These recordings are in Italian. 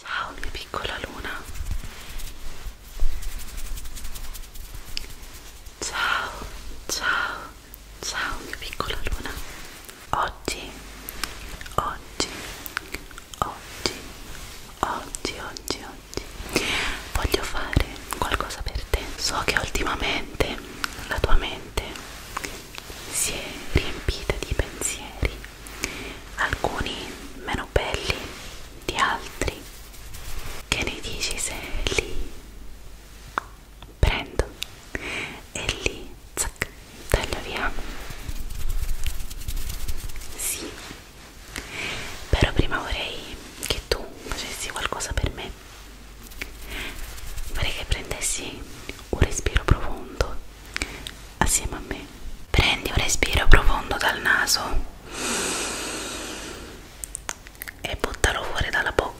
Ciao mia piccola luna. Ciao, ciao, ciao mia piccola luna oggi, oggi, oggi, oggi, oggi, oggi voglio fare qualcosa per te. So che ultimamente la tua mente si è riempita di pensieri, alcuni meno belli di altri. Che ne dici se li prendo e li tac, taglio via sì però prima vorrei che tu facessi qualcosa per me vorrei che prendessi un respiro profondo assieme a me prendi un respiro profondo dal naso e buttalo fuori dalla bocca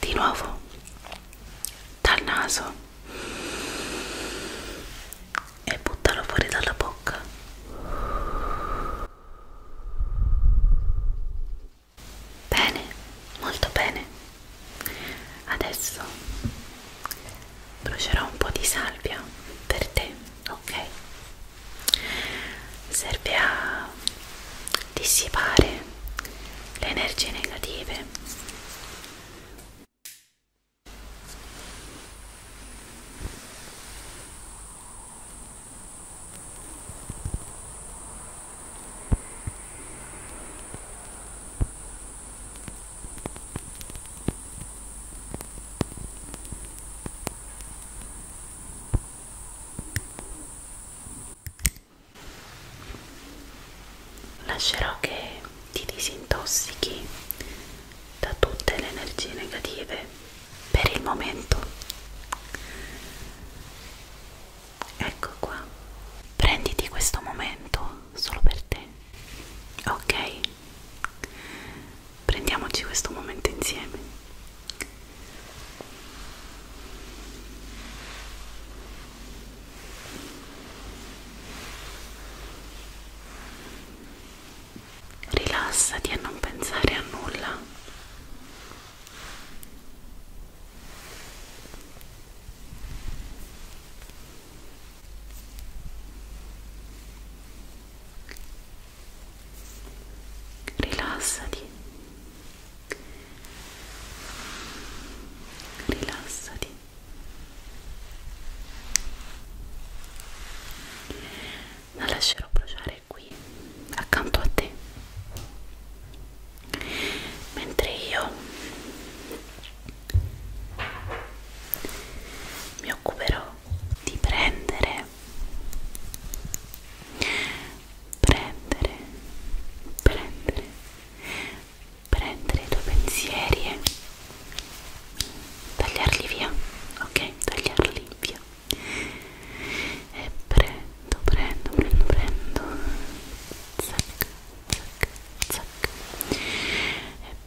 di nuovo dal naso e buttalo fuori dalla bocca bene molto bene adesso brucerò un po' di salvia per te ok serve a dissipare le energie negative Lascerò che ti disintossichi da tutte le energie negative per il momento. Ecco qua. Prenditi questo momento solo per te. Ok? prendiamoci questo momento insieme. Rilassati e non pensare a nulla rilassati rilassati la lascerò bruciare qui accanto a te mentre io mi occuperò di prendere prendere prendere prendere i tuoi pensieri e tagliarli via ok tagliarli via e prendo prendo prendo prendo zac zac zac e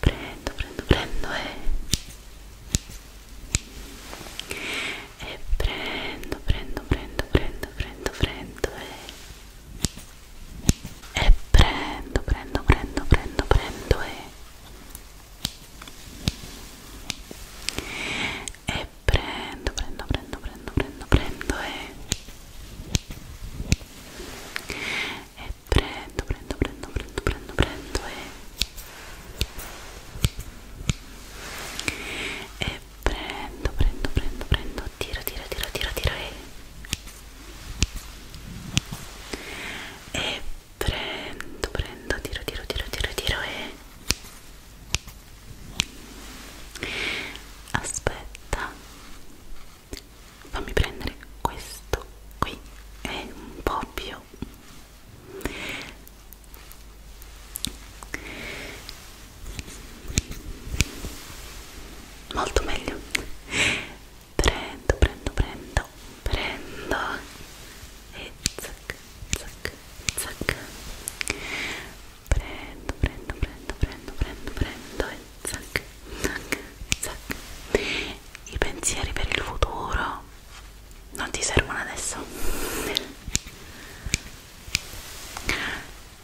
prendo prendo prendo e, e prendo prendo prendo prendo prendo prendo e, e prendo prendo prendo prendo prendo e, e prendo prendo prendo prendo prendo prendo e e prendo, prendo, prendo, prendo, prendo, prendo e, e prendo, prendo, prendo, prendo, tiro, tiro, tiro, tiro, tiro e, e prendo, prendo, tiro, tiro, tiro, tiro, tiro e aspetta fammi prendere questo qui è un po' più molto meglio prendo prendo prendo prendo e zac zac zac prendo, prendo, prendo, prendo, prendo, prendo e zac, zac, zac. I pensieri per il futuro non ti servono adesso.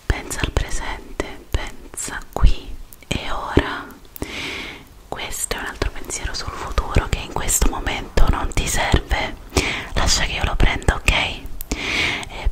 Pensa al presente, pensa qui e ora. Questo è un altro pensiero sul futuro che in questo momento non ti serve. Lascia che io lo prenda, ok? E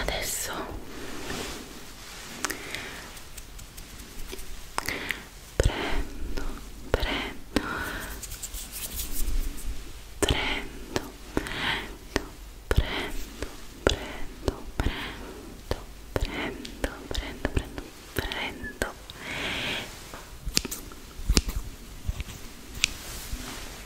adesso prendo prendo prendo prendo prendo prendo prendo prendo prendo prendo prendo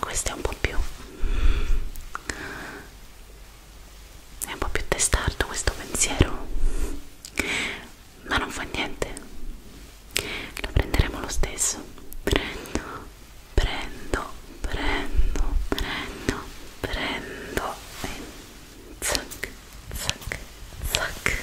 questo è un po' più è un po' più testardo questo pensiero ma non fa niente lo prenderemo lo stesso prendo prendo prendo prendo prendo e zac zac zac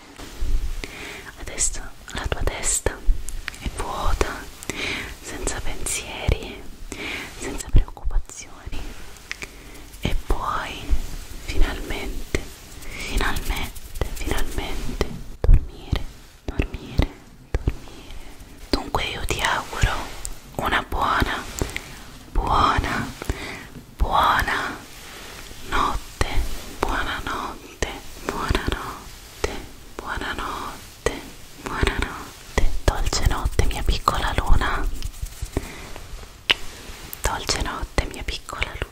Adesso la tua testa è vuota, senza pensieri, senza preoccupazioni e puoi finalmente, finalmente, finalmente dormire, dormire, dormire. Dunque io ti auguro una buona, buona, buona notte, buonanotte buonanotte, buonanotte, buonanotte, buonanotte, dolce notte mia piccola luna, dolce notte mia piccola luna.